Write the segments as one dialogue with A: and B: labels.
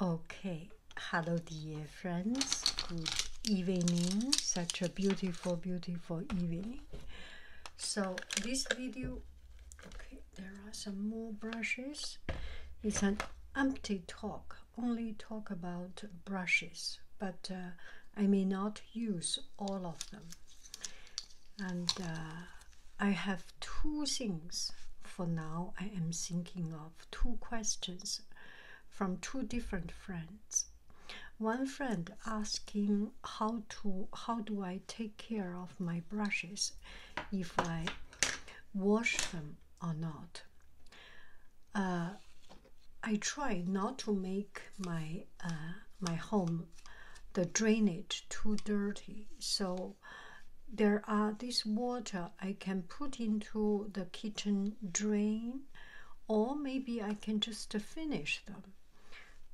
A: Okay, hello, dear friends. Good evening. Such a beautiful, beautiful evening. So, this video okay, there are some more brushes. It's an empty talk, only talk about brushes, but uh, I may not use all of them. And uh, I have two things for now I am thinking of two questions from two different friends. One friend asking how to how do I take care of my brushes if I wash them or not. Uh, I try not to make my uh, my home the drainage too dirty, so there are this water I can put into the kitchen drain, or maybe I can just uh, finish them.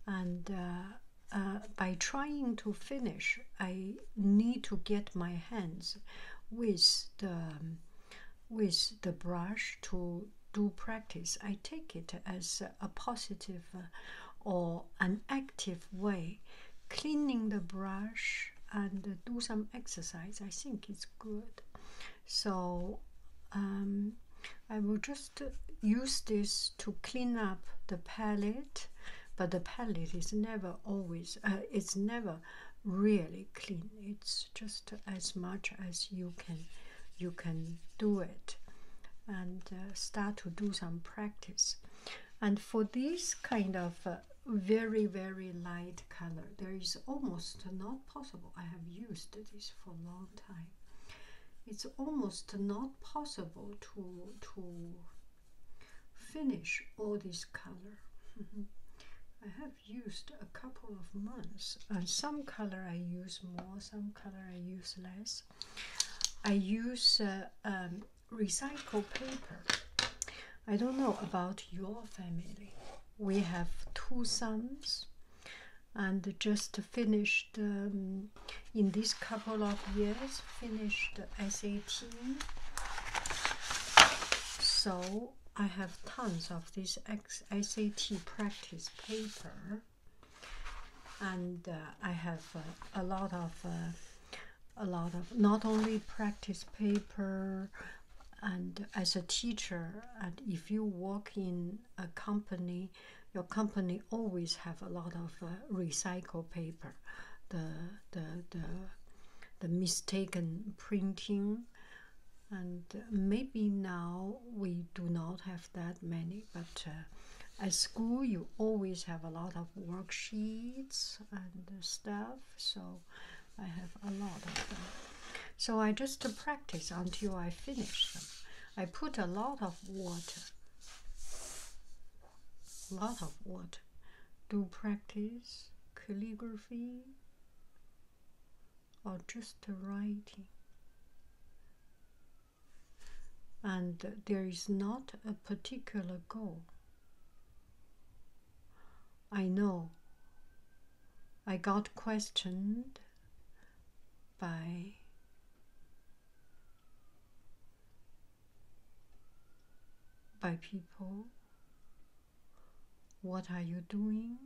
A: And uh, uh, by trying to finish, I need to get my hands with the um, with the brush to do practice. I take it as a positive or an active way. Cleaning the brush and uh, do some exercise, I think it's good. So um, I will just use this to clean up the palette, but the palette is never always, uh, it's never really clean. It's just as much as you can, you can do it and uh, start to do some practice. And for this kind of very very light color there is almost not possible i have used this for a long time it's almost not possible to to finish all this color mm-hmm. i have used a couple of months and some color i use more some color i use less i use uh, um, recycle paper. I don't know about your family. We have two sons, and just finished um, in this couple of years finished the SAT. So I have tons of this SAT practice paper, and uh, I have uh, a lot of uh, a lot of not only practice paper and as a teacher and if you work in a company your company always have a lot of uh, recycled paper the the the the mistaken printing and maybe now we do not have that many but uh, at school you always have a lot of worksheets and stuff so I have a lot of them. So I just practice until I finish them. I put a lot of water, a lot of water, do practice calligraphy or just writing. And there is not a particular goal. I know I got questioned by by people what are you doing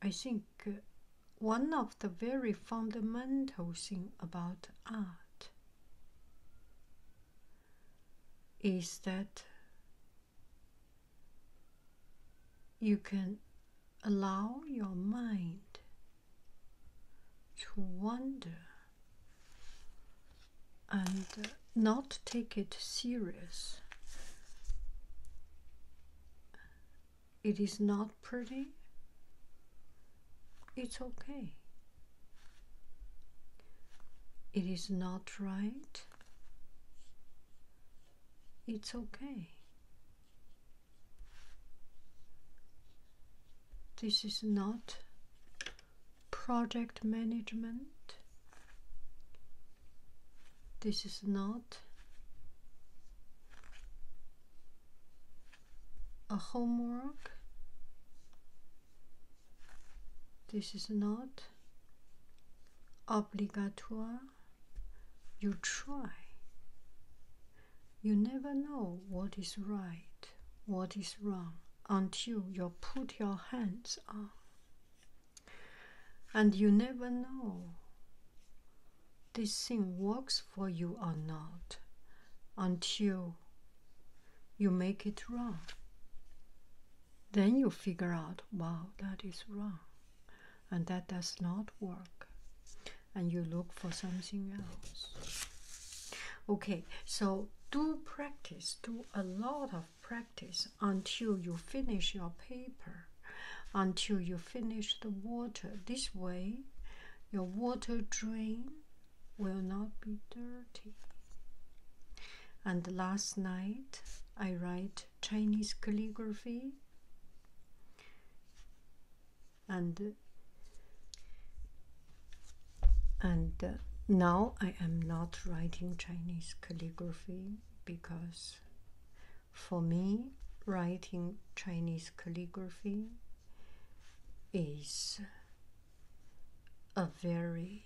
A: I think uh, one of the very fundamental thing about art is that you can allow your mind to wander and not take it serious. It is not pretty. It's okay. It is not right. It's okay. This is not project management. This is not a homework. This is not obligatory. You try. You never know what is right, what is wrong until you put your hands on. And you never know this thing works for you or not until you make it wrong. Then you figure out, wow, that is wrong. And that does not work. And you look for something else. Okay, so do practice, do a lot of practice until you finish your paper, until you finish the water. This way, your water drain will not be dirty. And last night I write Chinese calligraphy and and uh, now I am not writing Chinese calligraphy because for me writing Chinese calligraphy is a very,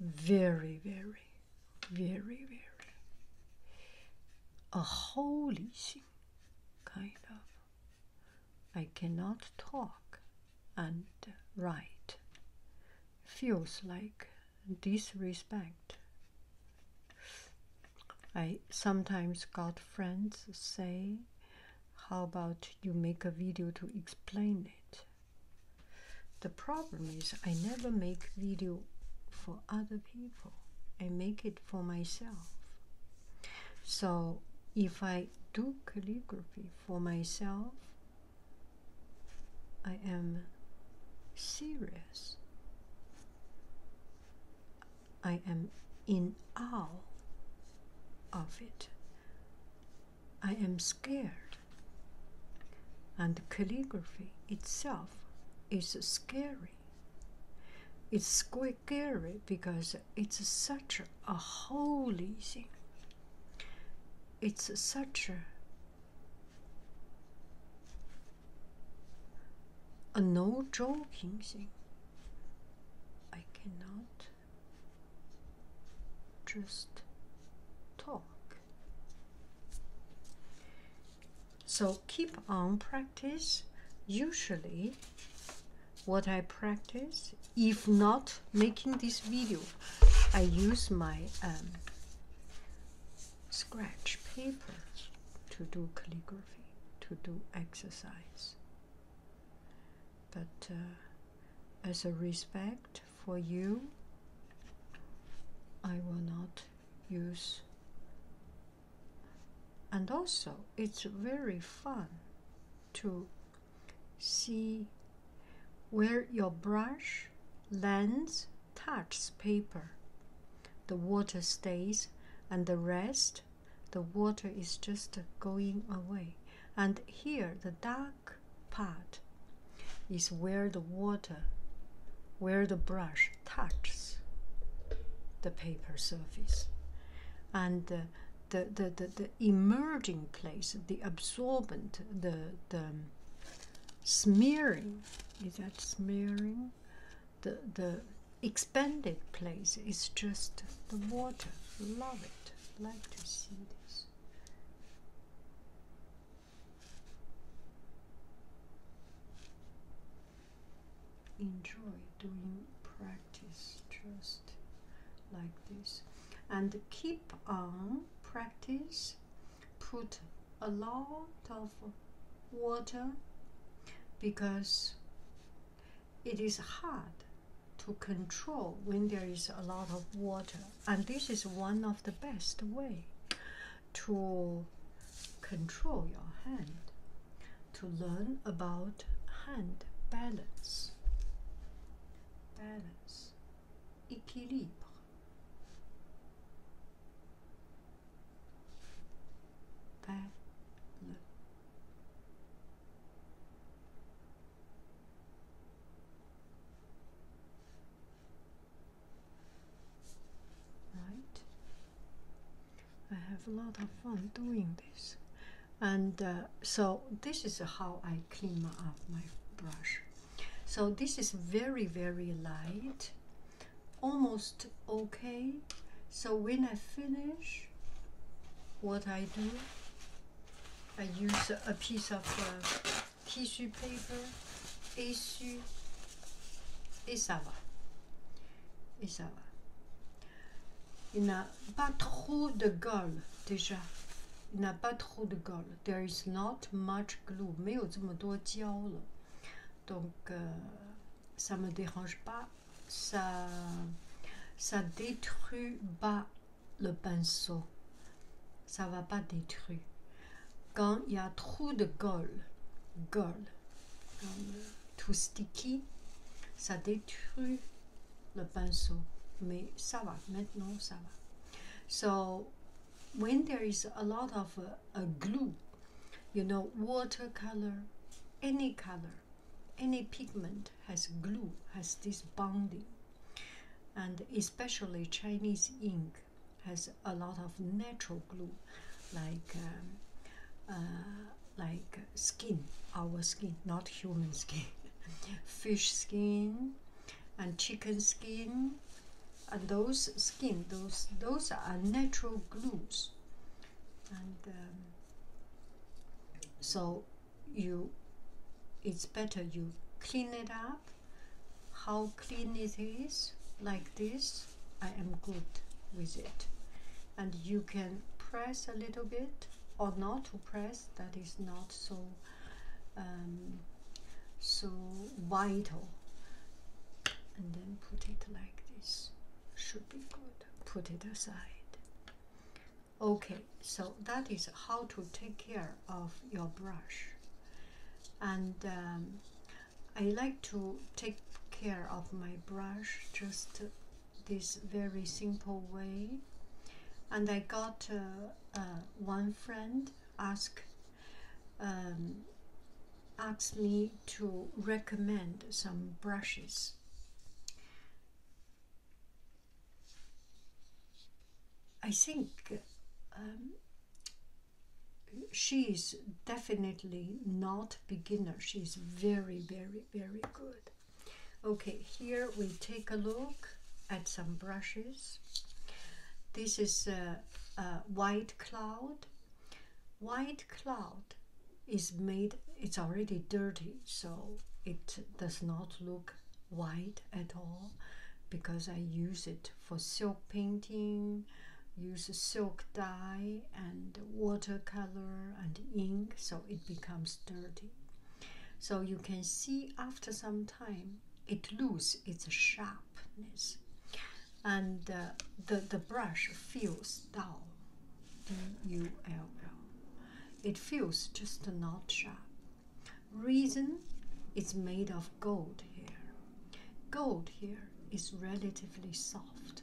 A: very, very, very, very, a holy thing, kind of. I cannot talk and write. Feels like disrespect. I sometimes got friends say how about you make a video to explain it? The problem is I never make video for other people. I make it for myself. So if I do calligraphy for myself, I am serious. I am in awe of it. I am scared. And calligraphy itself is scary. It's quite scary because it's such a holy thing. It's such a no joking thing. I cannot just talk. So keep on practice. Usually what I practice, if not making this video, I use my um, scratch paper to do calligraphy, to do exercise. But uh, as a respect for you, I will not use. And also, it's very fun to see where your brush, lands, touches paper. The water stays, and the rest the water is just going away. And here, the dark part is where the water, where the brush touches the paper surface. And the, the, the, the emerging place, the absorbent, the, the smearing, is that smearing? The, the expanded place is just the water. Love it like to see this. Enjoy doing practice just like this and keep on practice. Put a lot of water because it is hard to control when there is a lot of water and this is one of the best way to control your hand to learn about hand balance balance équilibre balance Right. I have a lot of fun doing this. And uh, so this is how I clean up my brush. So this is very, very light, almost okay. So when I finish, what I do, J'utilise un morceau piece papier uh, tissu, paper, essu, et ça va. Et ça va. Il n'a pas trop de colle déjà. Il n'a pas trop de n'y There is not much glue. 没有这么多胶了。Donc, Donc, euh, ça me dérange pas. Ça, ça détruit pas le pinceau. Ça va pas détruire. Quand il y a trop de colle, colle, tout sticky, ça détruit le pinceau. Mais ça va, maintenant ça va. So, when there is a lot of a uh, glue, you know, watercolor, any color, any pigment has glue, has this bonding. And especially Chinese ink has a lot of natural glue, like um, uh, like skin, our skin, not human skin, fish skin, and chicken skin, and those skin, those those are natural glues, and um, so you it's better you clean it up how clean it is like this I am good with it and you can press a little bit or not to press that is not so um, so vital and then put it like this should be good put it aside Okay, so that is how to take care of your brush. And um, I like to take care of my brush just this very simple way. And I got uh, uh, one friend ask um, asked me to recommend some brushes. I think um, she's definitely not beginner. She's very, very, very good. Okay, here we take a look at some brushes. This is a white cloud. White cloud is made, it's already dirty, so it does not look White at all because I use it for silk painting, use silk dye and watercolor and ink, so it becomes dirty. So you can see after some time it lose its sharpness and uh, the, the brush feels dull, D-U-L-L. It feels just not sharp. Reason it's made of gold here. Gold here is relatively soft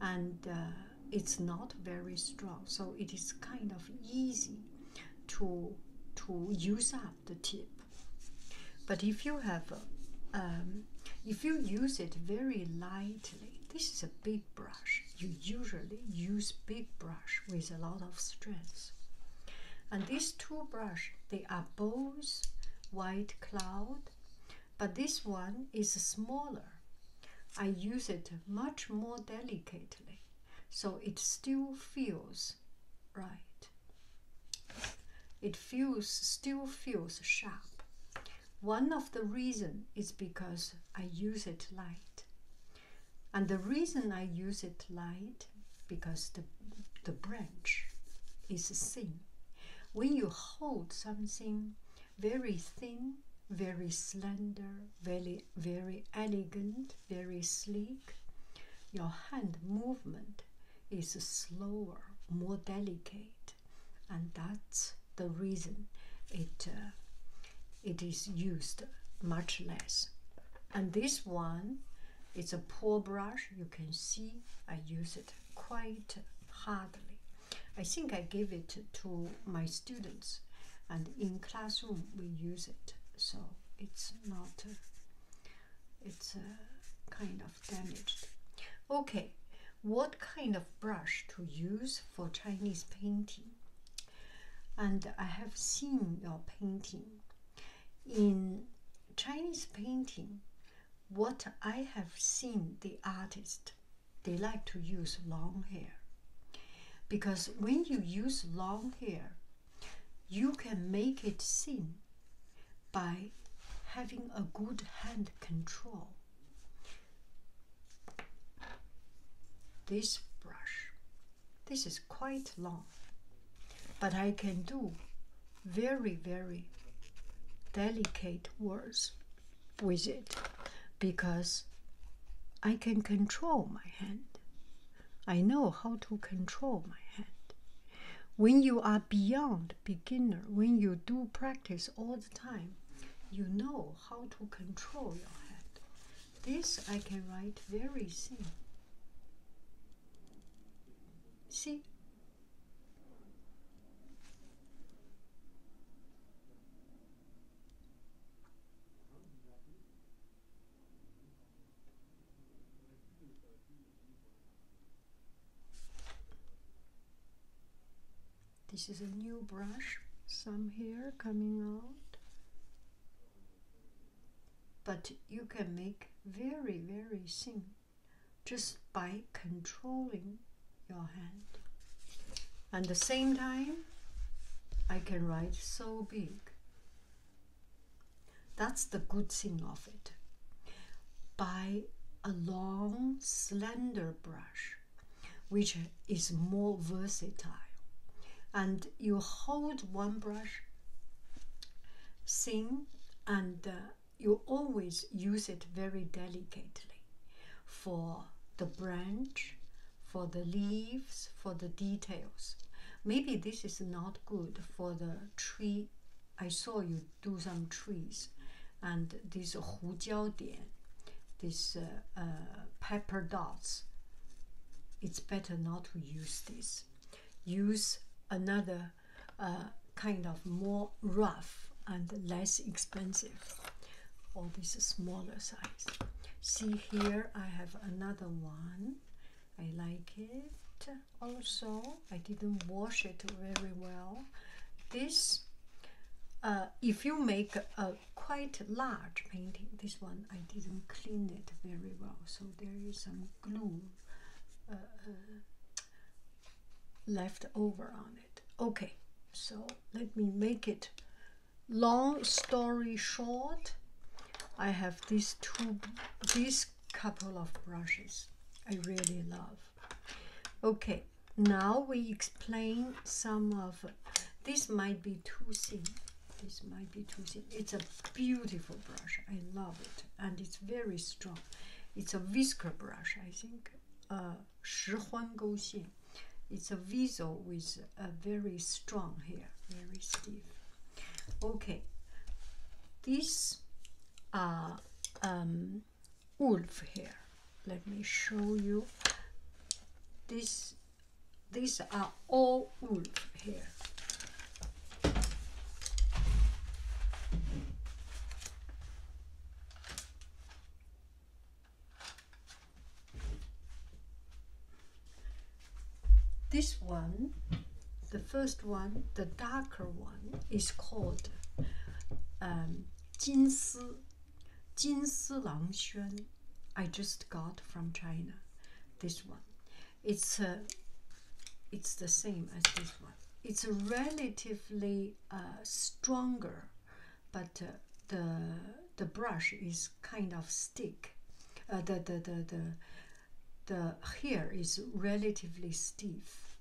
A: and uh, it's not very strong, so it is kind of easy to to use up the tip. But if you have um, if you use it very lightly, this is a big brush you usually use big brush with a lot of strands. And these two brush, they are both white cloud, but this one is smaller. I use it much more delicately, so it still feels right. It feels still feels sharp. One of the reason is because I use it light and the reason I use it light because the the branch is thin. When you hold something very thin, very slender, very very elegant, very sleek, your hand movement is slower, more delicate, and that's the reason it uh, it is used much less. And this one is a poor brush. You can see I use it quite hardly. I think I gave it to my students, and in classroom we use it. So it's not. it's uh, kind of damaged. Okay, what kind of brush to use for Chinese painting? and I have seen your painting. In Chinese painting, what I have seen the artists, they like to use long hair. Because when you use long hair, you can make it thin by having a good hand control. This brush this is quite long, but I can do very, very delicate words with it because I can control my hand. I know how to control my hand. When you are beyond beginner, when you do practice all the time, you know how to control your hand. This I can write very thin. See? This is a new brush, some hair coming out. But you can make very, very thin just by controlling your hand. At the same time, I can write so big. That's the good thing of it. By a long, slender brush, which is more versatile and you hold one brush sing, and uh, you always use it very delicately for the branch, for the leaves, for the details. Maybe this is not good for the tree. I saw you do some trees and this hujiao this uh, uh, pepper dots it's better not to use this. Use another uh, kind of more rough and less expensive, or this smaller size. See here, I have another one. I like it. Also, I didn't wash it very well. This, uh, if you make a quite large painting. This one I didn't clean it very well, so there is some glue uh, uh, left over on it. Okay, so let me make it long story short. I have these two, these couple of brushes I really love. Okay, now we explain some of, this might be too simple this might be too thin. It's a beautiful brush. I love it, and it's very strong. It's a whisker brush, I think. Uh, it's a weasel with a very strong hair, very stiff. Okay, this uh, um, wolf hair. Let me show you. This these are all wool here. This one, the first one, the darker one, is called um, 金丝,金丝狼轩. I just got from China this one it's uh, it's the same as this one. It's relatively uh, stronger, but uh, the the brush is kind of stick. Uh, the, the the the the hair is relatively stiff,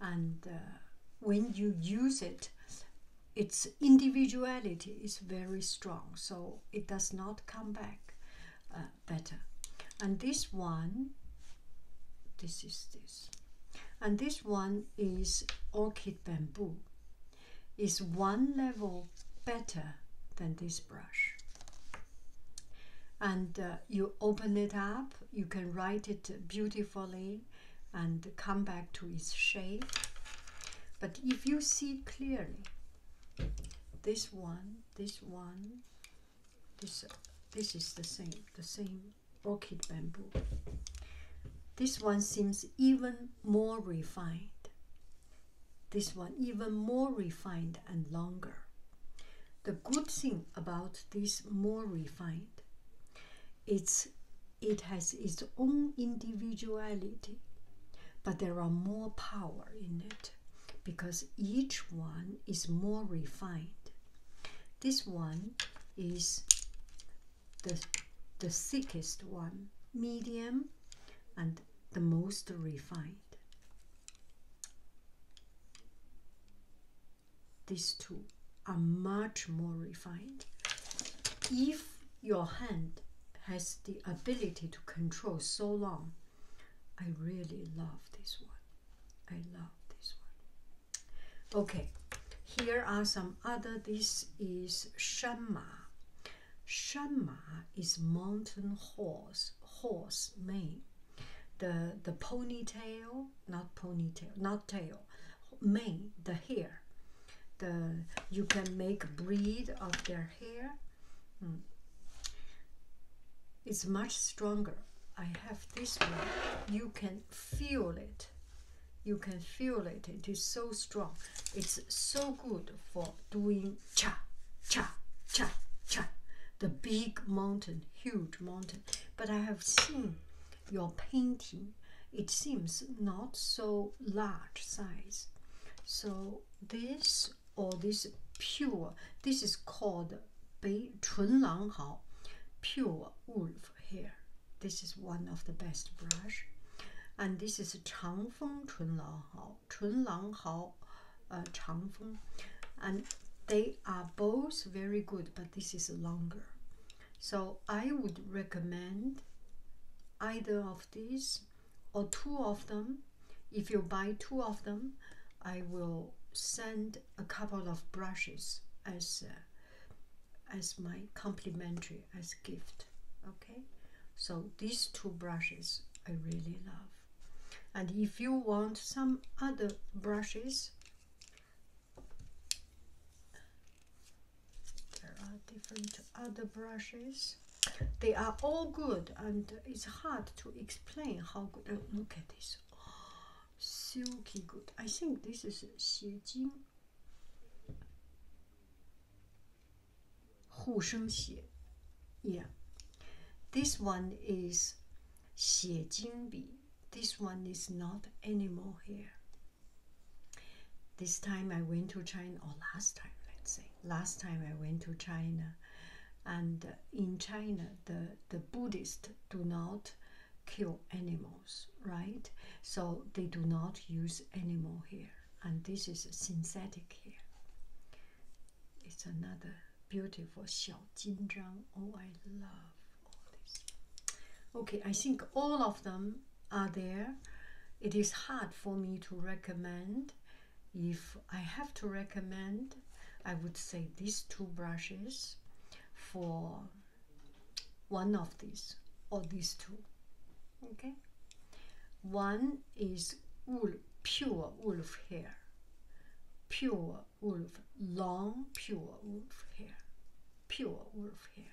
A: and uh, when you use it, its individuality is very strong, so it does not come back. Uh, better and this one this is this and this one is orchid bamboo is one level better than this brush and uh, you open it up you can write it beautifully and come back to its shape but if you see clearly this one this one this this is the same the same orchid bamboo this one seems even more refined this one even more refined and longer the good thing about this more refined it's it has its own individuality but there are more power in it because each one is more refined. This one is the, the thickest one, medium, and the most refined. These two are much more refined. If your hand has the ability to control so long, I really love this one. I love this one. Okay, here are some other. This is Shanma. Shanma is mountain horse, horse mane. The the ponytail, not ponytail, not tail, mane, the hair. The you can make breed of their hair Mm. It's much stronger. I have this one. You can feel it. You can feel it. It is so strong. It's so good for doing cha, cha, cha, cha. The big mountain, huge mountain. But I have seen your painting. It seems not so large size. So this or this pure. This is called Bei Chun Lang Hao, pure wolf hair. This is one of the best brush. And this is Changfeng Chun Lang Hao, Chun Lang Hao uh, Changfeng. And they are both very good, but this is longer. So I would recommend either of these or two of them. If you buy two of them, I will send a couple of brushes as uh, as my complimentary as gift. Okay, so these two brushes I really love. And if you want some other brushes, there are different other brushes. They are all good, and it's hard to explain how good. Uh, look at this, silky good. I think this is Xie Jing. yeah. This one is bi. This one is not animal hair. This time I went to China, or last time, let's say, last time I went to China, and in China the the Buddhists do not kill animals, right? So they do not use animal hair, and this is synthetic hair. It's another beautiful Xiao Jinzhang. Oh, I love all this. Okay, I think all of them are there. It is hard for me to recommend if I have to recommend, I would say these two brushes for one of these or these two. Okay, one is wool, pure wool of hair, pure wolf, long pure wolf hair, pure wolf hair,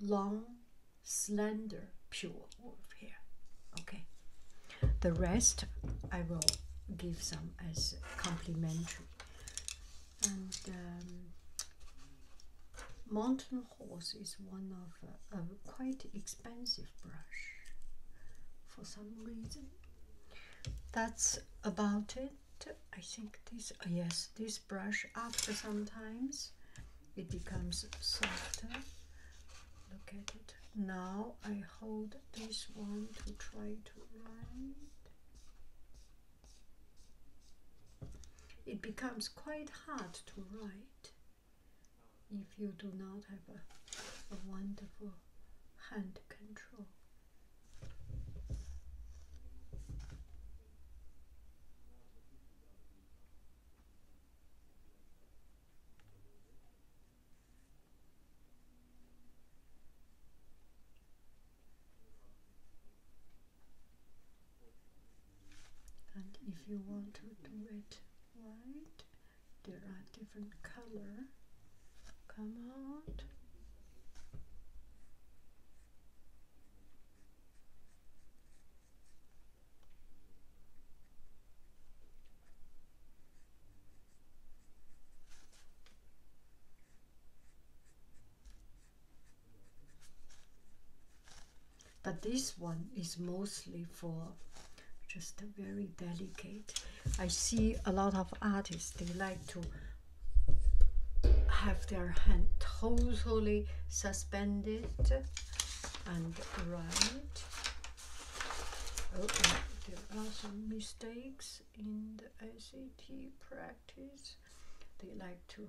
A: long, slender, pure here. Okay. The rest I will give some as complimentary. And um, mountain horse is one of a quite expensive brush for some reason. That's about it. I think this, oh yes, this brush after sometimes it becomes softer. Look at it now I hold this one to try to write. It becomes quite hard to write if you do not have a, wonderful hand control. And if you want to do it white, there are different color. Come out. But this one is mostly for just a very delicate. I see a lot of artists, they like to have their hand totally suspended and right Oh, there are some mistakes in the ACT practice. They like to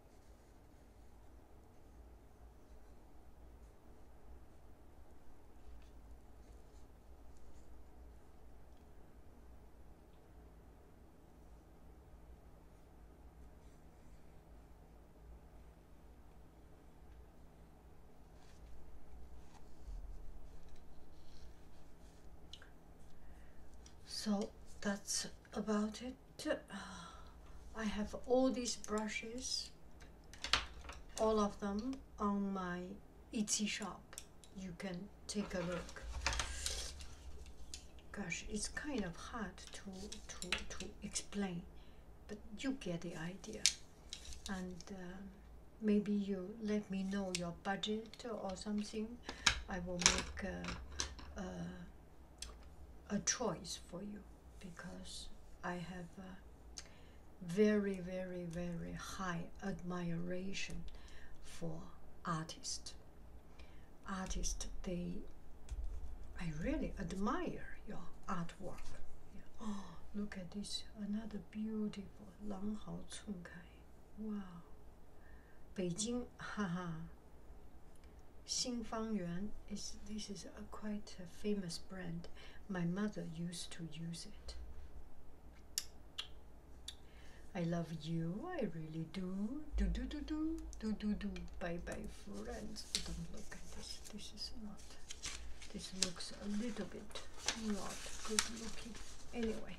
A: so that's about it I have all these brushes, all of them on my Etsy shop. You can take a look. Gosh, it's kind of hard to, to, to explain, but you get the idea. And um, maybe you let me know your budget or something. I will make uh, a choice for you because I have very, very, very high admiration for artists. Artists, they, I really admire your artwork. Oh, look at this, another beautiful Lang Hao Cun Kai. Wow, 北京，哈哈。Xing Fang Yuan is this is a quite famous brand. My mother used to use it. I love you. I really do. Do do do do do do do. Bye bye, friends. Don't look at this. This is not. This looks a little bit not good looking. Anyway,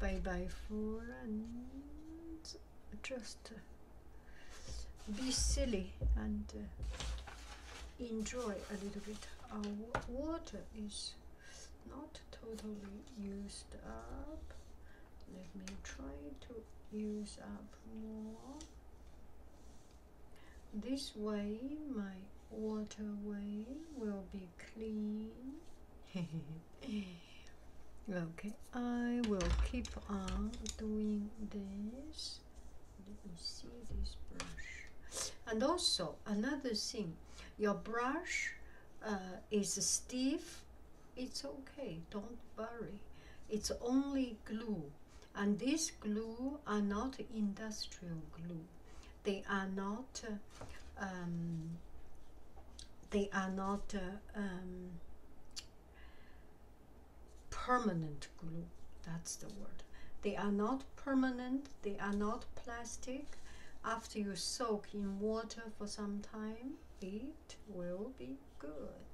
A: bye bye, friends just uh, be silly and uh, enjoy a little bit. Our water is not totally used up. Let me try to use up more. This way my waterway will be clean. okay i will keep on doing this let me see this brush and also another thing your brush uh, is stiff it's okay don't worry it's only glue and these glue are not industrial glue they are not um, they are not uh, um, permanent glue. That's the word. They are not permanent, they are not plastic. After you soak in water for some time, it will be good.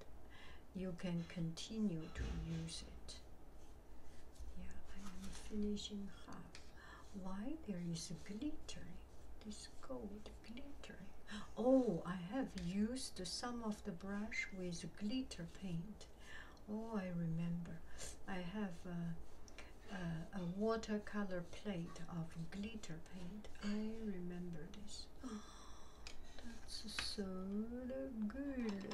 A: You can continue to use it. Yeah, I am finishing half. Why there is glittering? This gold glittering. Oh, I have used some of the brush with glitter paint. Oh, I remember. I have a, watercolor plate of glitter paint. I remember this. that's so good.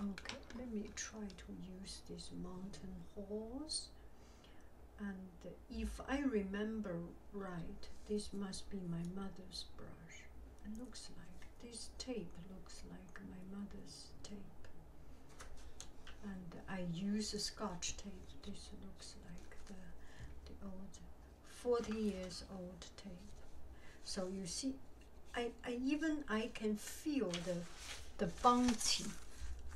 A: Okay, let me try to use this mountain horse and if I remember right, this must be my mother's brush. It looks like this tape looks like my mother's tape. And I use a scotch tape. This looks like the the old 40 years old tape. So you see I, I even I can feel the the bouncy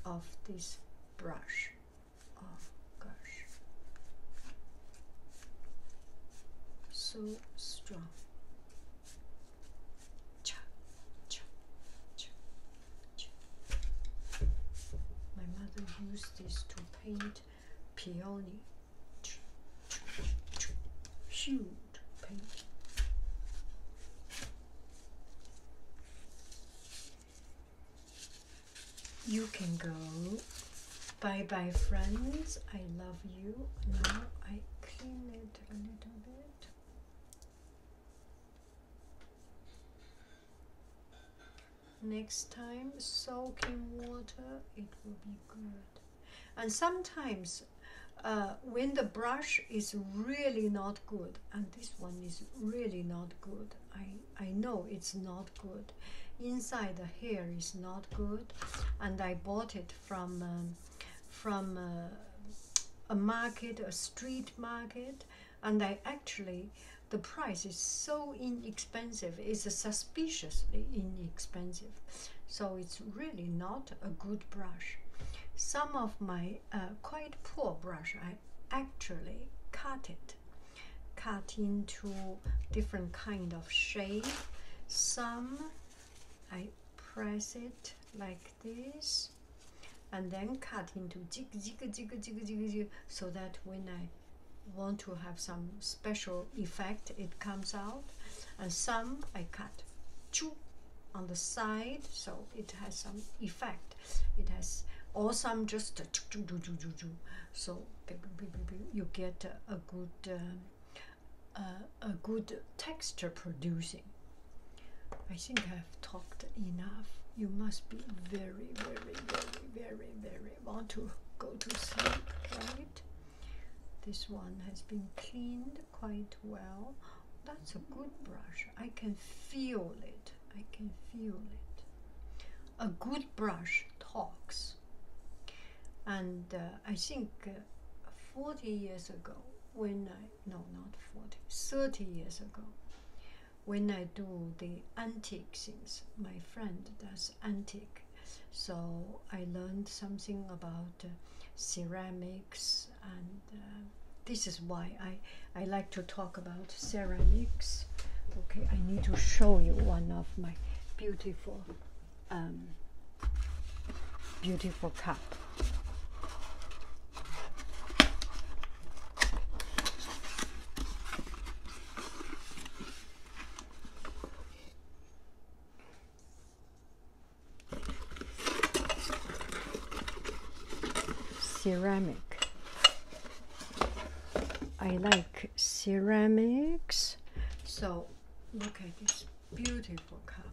A: of this brush of oh, gosh so strong cha, cha, cha, cha. my mother used this to paint peony huge paint you can go. Bye bye, friends. I love you. Now I clean it a little bit. Next time, soaking water, it will be good. And sometimes, uh, when the brush is really not good, and this one is really not good, I I know it's not good. Inside the hair is not good, and I bought it from um, from uh, a market, a street market, and I actually the price is so inexpensive. It's suspiciously inexpensive, so it's really not a good brush. Some of my uh, quite poor brush, I actually cut it cut into different kind of shape. Some I press it like this and then cut into jig jig jig jig jig jig so that when I want to have some special effect it comes out and some I cut choo, on the side so it has some effect it has or some just choo, choo, so you get a good uh, uh, a good texture producing. I think I've talked enough. You must be very, very, very, very, very want to go to sleep, right? This one has been cleaned quite well. That's a good brush. I can feel it. I can feel it. A good brush talks. And uh, I think uh, 40 years ago, when I, no, not 40, 30 years ago, when I do the antique things, my friend does antique. So I learned something about uh, ceramics and this is why I, I like to talk about ceramics Okay, I need to show you one of my beautiful, um, beautiful cup. ceramic. I like ceramics. So look at this beautiful cup.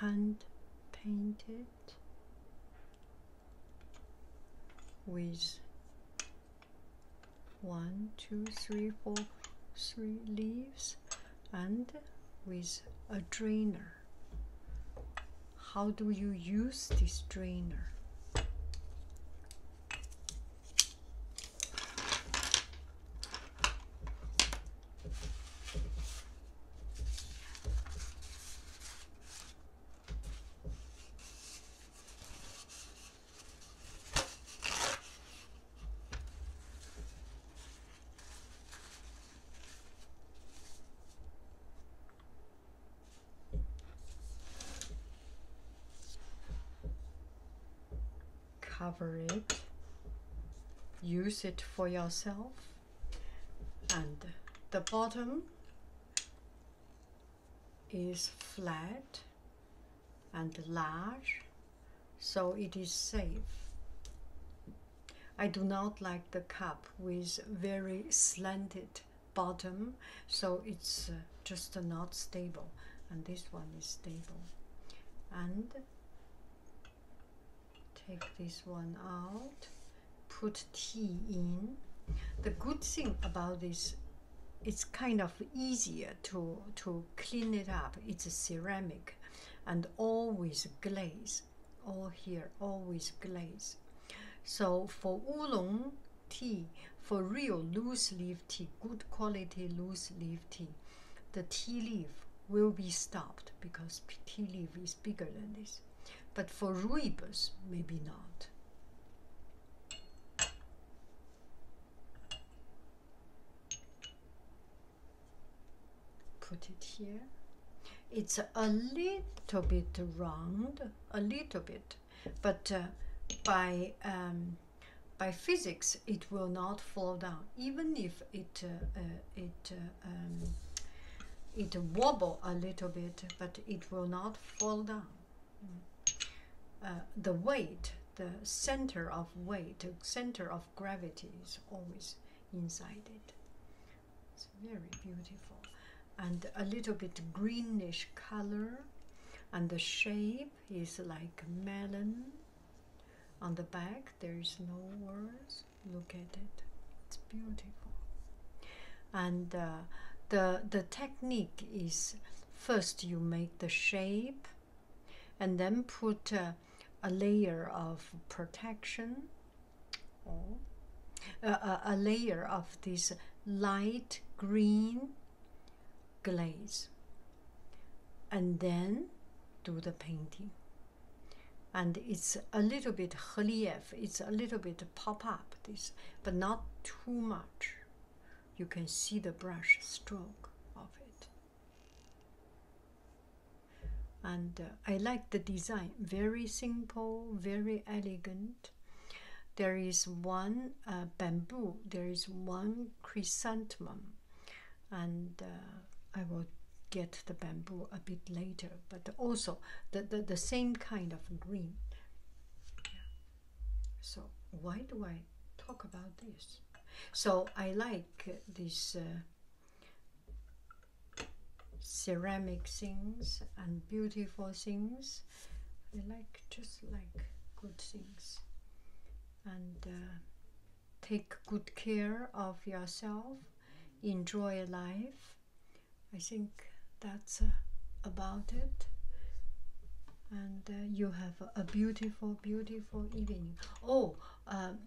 A: Hand painted with one, two, three, four, three leaves and with a drainer. How do you use the strainer? cover it use it for yourself and the bottom is flat and large so it is safe I do not like the cup with very slanted bottom so it's uh, just not stable and this one is stable and take this one out put tea in the good thing about this it's kind of easier to to clean it up it's a ceramic and always glaze all here always glaze so for oolong tea for real loose leaf tea good quality loose leaf tea the tea leaf will be stopped because tea leaf is bigger than this but for rooibos maybe not put it here it's a little bit round, a little bit, but uh, by um, by physics it will not fall down, even if it uh, uh it uh, um, it wobble a little bit, but it will not fall down. the weight, the center of weight, center of gravity is always inside it. It's very beautiful and a little bit greenish color and the shape is like melon on the back there's no words look at it it's beautiful and uh, the the technique is first you make the shape and then put uh, a layer of protection a, layer of this light green glaze and then do the painting and it's a little bit relief it's a little bit pop up this but not too much you can see the brush stroke of it and uh, i like the design very simple very elegant there is one uh, bamboo, there is one chrysanthemum, and uh, I will get the bamboo a bit later, but also the, the, same kind of green. So, why do I talk about this? So, I like this uh, ceramic things and beautiful things. I like just like good things and uh, take good care of yourself, enjoy life. I think that's uh, about it. And uh, you have a beautiful, beautiful evening. Oh, um,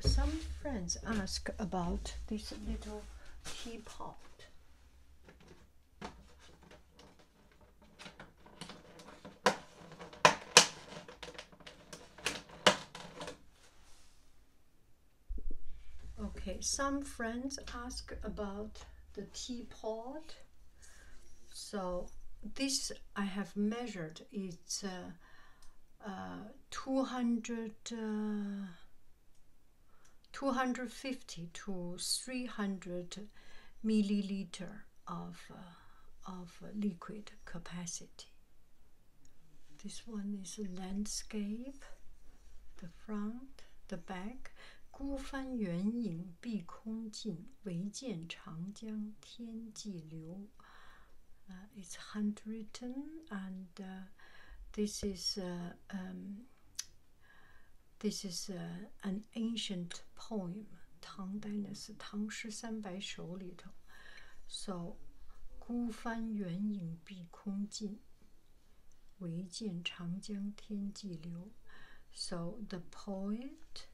A: some friends ask about this little teapot. Okay, some friends ask about the teapot. So this I have measured. It's uh, uh, 200. Uh, 250 to 300 milliliter of, uh, of liquid capacity. This one is a landscape, the front, the back. 孤帆远影碧空尽，唯见长江天际流。Uh, it's handwritten, and uh, this is uh, um, this is uh, an ancient poem, Tang Dynasty, 唐诗三百首里头。So, 孤帆远影碧空尽，唯见长江天际流。So the poet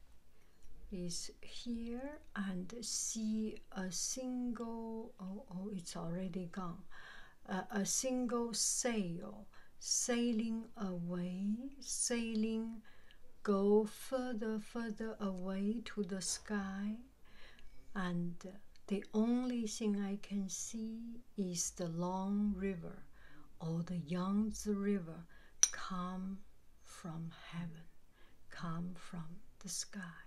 A: is here and see a single. Oh, oh, it's already gone a single sail, sailing away, sailing, go further, further away to the sky, and the only thing I can see is the long river or the Yangtze River come from heaven, come from the sky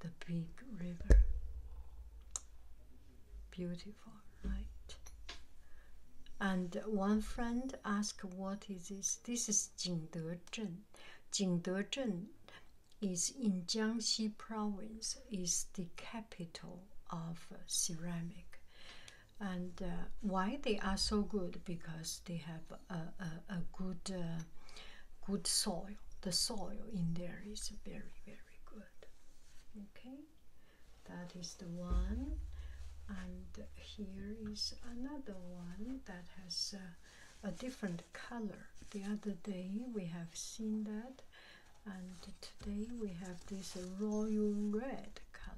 A: the big river. Beautiful, right? And one friend asked, What is this? This is Jingde Zhen. Jingde Zhen is in Jiangxi province, is the capital of ceramic. And uh, why they are so good? Because they have a, a, good, uh, good soil. The soil in there is very, very very good. Okay, that is the one, and here is another one that has uh, a different color. The other day we have seen that, and today we have this royal red color.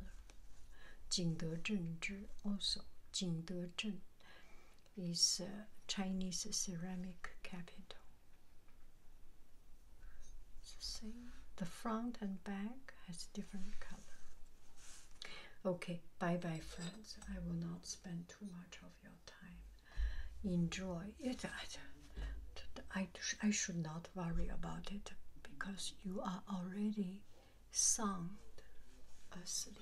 A: 景德镇之 also Jingdezhen is uh, Chinese ceramic capital same. The front and back has different color. Okay, bye bye, friends. I will not spend too much of your time. Enjoy it. I, I should not worry about it because you are already sound asleep.